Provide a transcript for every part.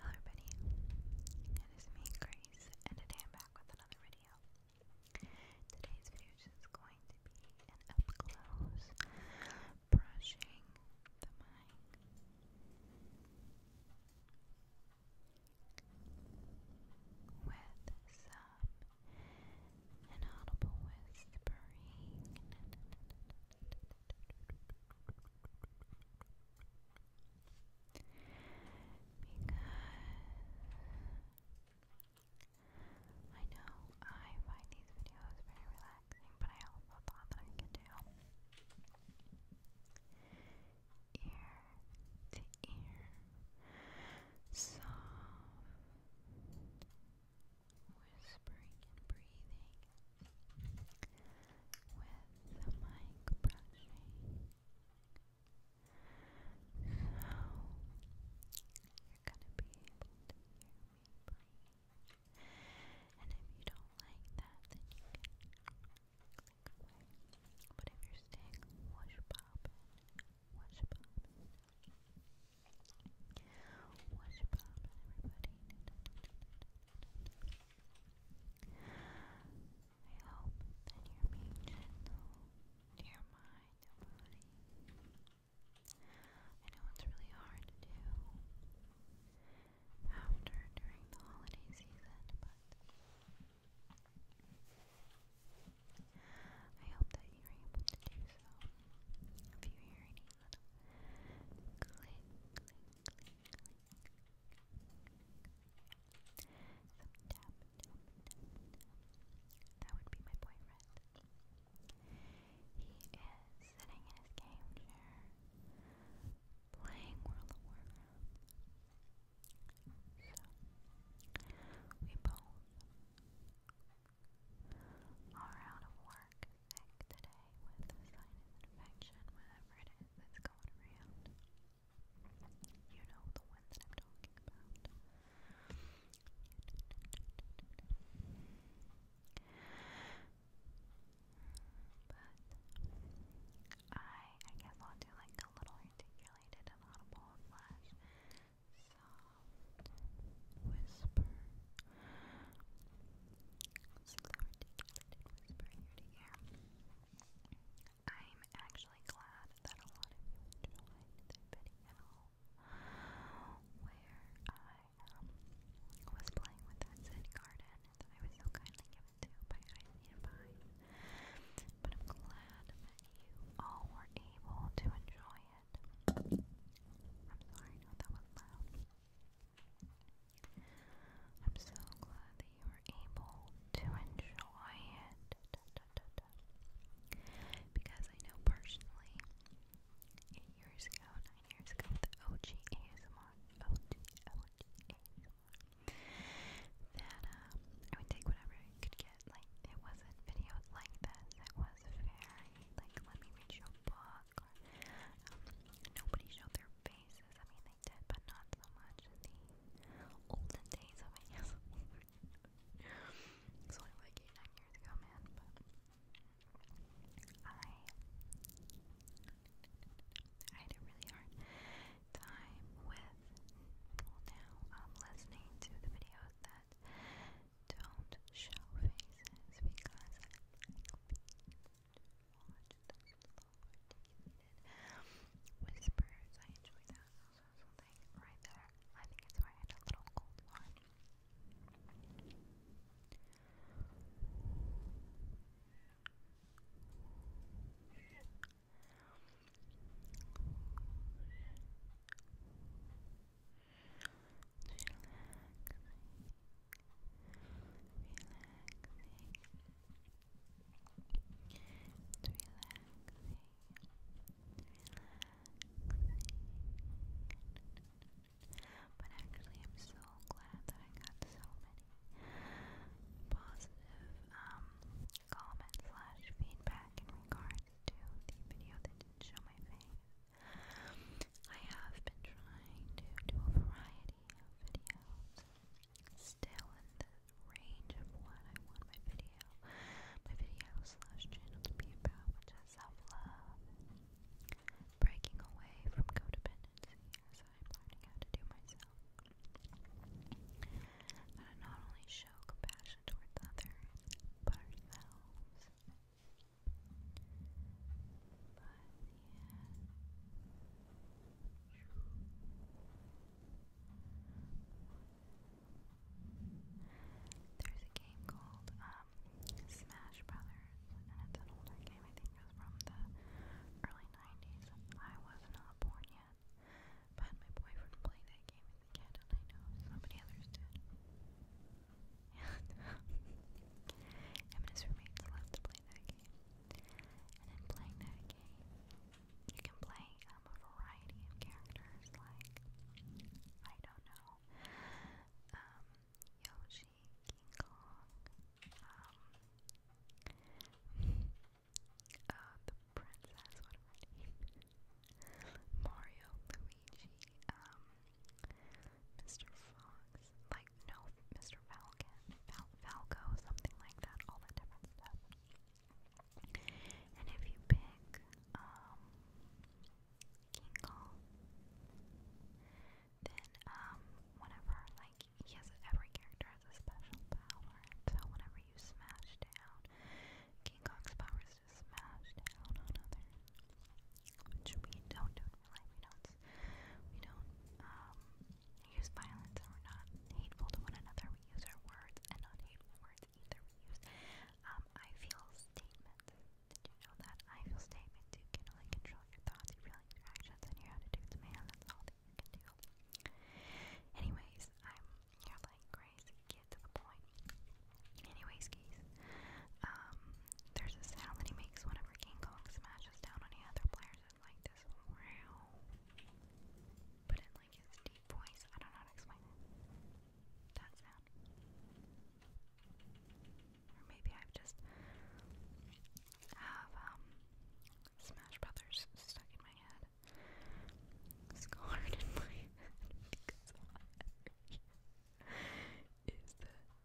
Hello everybody, it is me Grace and today I'm back with another video. Today's video is going to be an up close brushing the mic. With some inaudible whispering. I know I find these videos very relaxing, but I also thought that I could do ear to ear soft whispering and breathing with the mic brushing. you're gonna be able And if you don't like that, then you can click away. But if you're staying wash poppin', wash poppin'. Wash poppin', everybody. I hope that you're being gentle mind and body. I know it's really hard to do after during the holiday season, but I hope that you're able to do so. If you hear any click, click, That would be my boyfriend. He is sitting in his game chair, playing World of Warcraft. So, we both are out of work today day with a sinus infection, whatever it is that's going around. You know the one that I'm talking about. But I, I guess I'll do like a little articulated and audible slash soft whisper Slow, I'm actually glad that a lot of you enjoyed the video where I um, was playing with that Zen garden that I was so kindly given to by Ivy and But I'm glad that you all were able to enjoy it. I'm sorry, that was loud. I'm so glad that you were able to enjoy it. Because I know personally, eight years ago, nine years ago, the OG ASMR, OG, OG ASMR, that um, I would take whatever I could get. Like, it wasn't videos like this, it was very, like, let me read your book. Oscar. Um, nobody showed their faces. I mean, they did, but not so much the olden days of it. it's only like eight, nine years ago, man. But I, I had really hard time with people now um, listening to the videos that don't show faces because I like whispers. I enjoy that. Also, something right there. I think it's why I had a little cold one. But actually, I'm so glad that I got so many positive um, comments slash feedback in regards to the video that didn't show my face. I have been trying to do a variety of videos, still in the range of what I want my video, my video slash channel to be about, which is self-love, breaking away from codependency as I'm learning how to do myself. That not only show compassion towards others, but ourselves. There's a game called um, Smash Brothers, and it's an older game. I think it was from the early '90s. I was not born yet, but my boyfriend played that game as a kid, I know so many others did. And roommates love to play that game. And in playing that game, you can play um, a variety of characters like, I don't know, um, Yoshi, King Kong, um, uh, the princess, Mario, Luigi, um, Mr. Fox, like, no, Mr. Falcon, Falco, something like that, all that different stuff. And if you pick, um, then, um, whenever, like, he every character has a special power, so whenever you smash down, King Kong's power smash down on others which we don't do in real life. We don't, we don't um, use violence, and we're not hateful to one another. We use our words, and not hateful words either. We use um, I feel statements. Did you know that I feel statements? You can only control your thoughts, your feelings, your actions, and your attitudes, man. That's all that can do. Anyways, I'm you're Grace, get to the point. Anyways, guys, um, there's a sound that he makes whenever King Kong smashes down on any other players. like this but in like his deep voice. I don't know how to explain it. That sound, or maybe I've just have um, Smash Brothers stuck in my head, scarred in my head Is the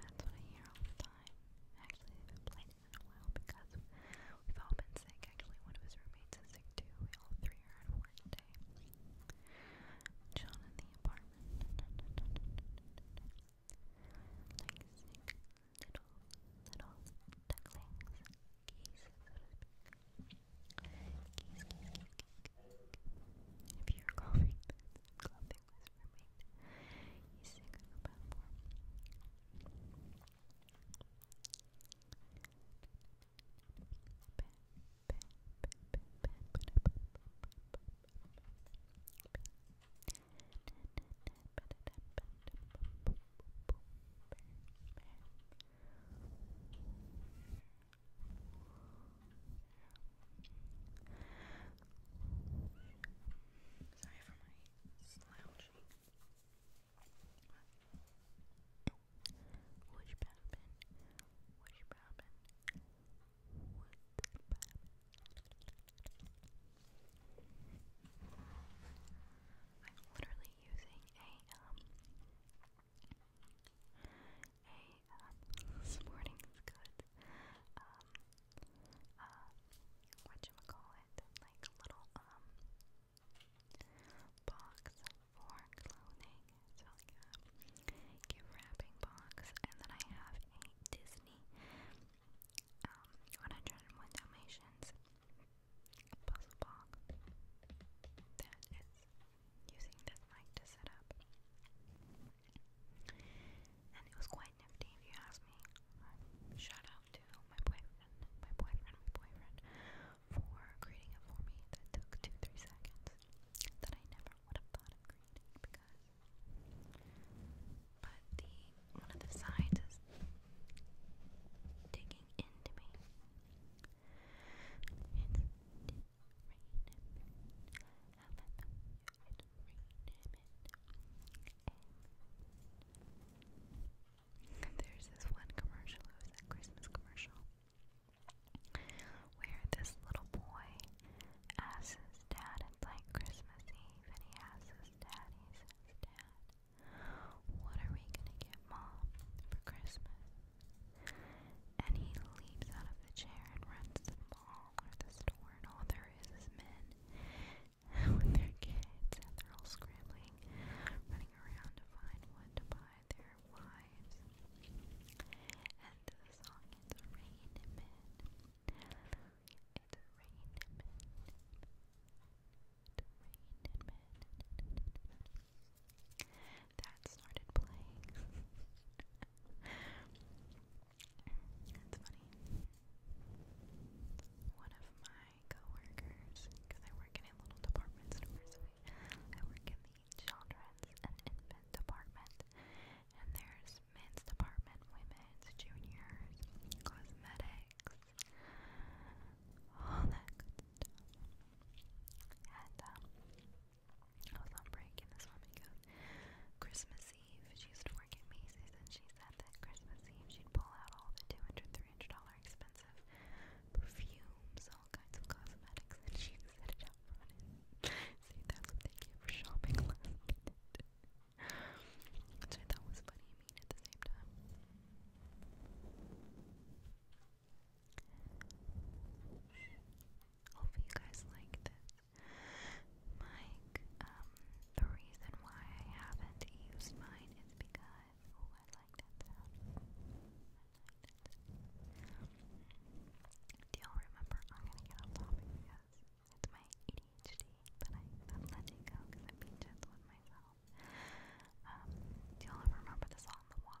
That's what I hear all the time. Actually, I haven't played it in a while because we've all been sick. Actually, one of his roommates is sick too. We all three are at work today. John in the apartment. Like little, little ducklings. Geese, so to speak. If you're coughing, coughing was for me. You sing on Sorry for my slouching. What's poppin'? What's poppin'? What's poppin'? I'm literally using a um Hey, um, this morning is good. Um, uh, whatchamacallit, like a little, um, box for clothing. So, like a um, gift wrapping box. And then I have a Disney, um, 101 Dalmatians puzzle box. That is using this mic to set up. And it was quite nifty if you ask me. Shout out to my boyfriend, my boyfriend, my boyfriend for creating it for me that took two, three seconds that I never would have thought of creating because but the one of the sides is digging into me. Rain There's this one commercial, it was a Christmas commercial, where this little boy asks his dad, it's like Christmas Eve, and he asks his dad, he says, Dad, what are we gonna get mom for Christmas? And he leaps out of the chair and runs to the mall or the store, and all there is is men with their kids, and they're all scrambling, running around to find what to buy their wives. And the song is Rain Men. It's Rain Men. It's Rain Men that started playing. That's funny. One of my coworkers, because I work in a little department store, so we, I work in the children's and infant department, and there's men's department, women's, juniors, cosmetics, all that good stuff. And um, I was on break and this woman goes, Christmas Eve, she used to work at Macy's and she said that Christmas Eve she'd pull out all the $200, $300 expensive perfumes, all kinds of cosmetics, and she set it up on it. See, that's what they get for shopping last minute. Which I thought was funny and mean at the same time. Hope you guys like this. Mike, um, the reason why I haven't used mine is because oh, Do y'all remember I'm gonna get off topic because it's my ADHD, but I, I'm letting go because I'm being gentle with myself. Um, do y'all remember the song The Wop?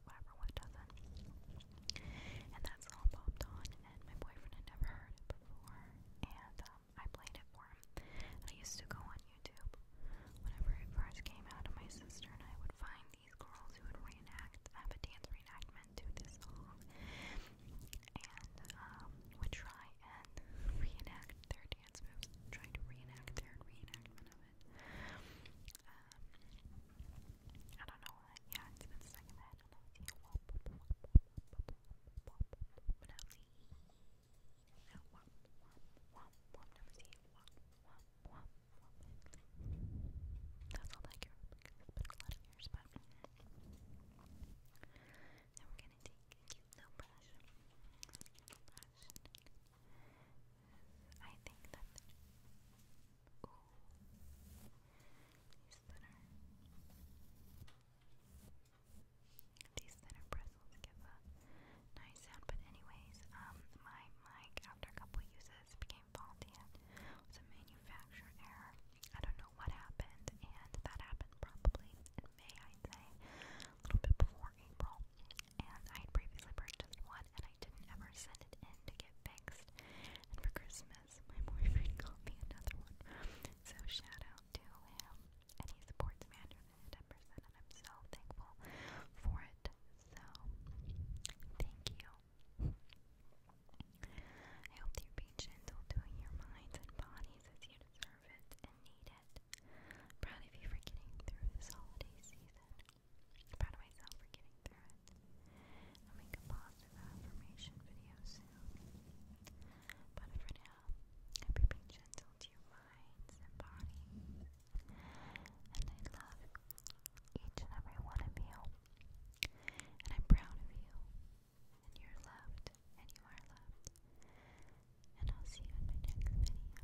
about five doesn't. And that song popped on, and my boyfriend had never heard it before, and um, I played it for him. I used to go on YouTube whenever it first came out, and my sister and I would find these girls who would reenact, have a dance reenactment to this song, and um, would try and reenact their dance moves, try to reenact their reenactment of it. Um, I don't know Yeah, it's been stuck in my head. see a wop, wop, wop, wop, but now see. Now wop, wop, wop, That's all I care but. Now we I think that these that these that bristles give a nice sound. But anyways, um, my mic after a couple uses became faulty. It was a manufacturer error. I don't know what happened, and that happened probably in May, I'd say, a little bit before April. And I had previously purchased one, I didn't ever send it in to get fixed. And for Christmas, my boyfriend got me another one. So shout out to him, and he supports me 110%, and I'm so thankful for it. So thank you. I hope you're being gentle to your minds and bodies as you deserve it and need it. proud of you for getting through this holiday season i proud of myself for getting through it. I'll make a positive affirmation video soon. But for now, be gentle to your minds and bodies. And I love each and every one of you. And I'm proud of you. And you're loved. And you are loved. And I'll see you in my next video.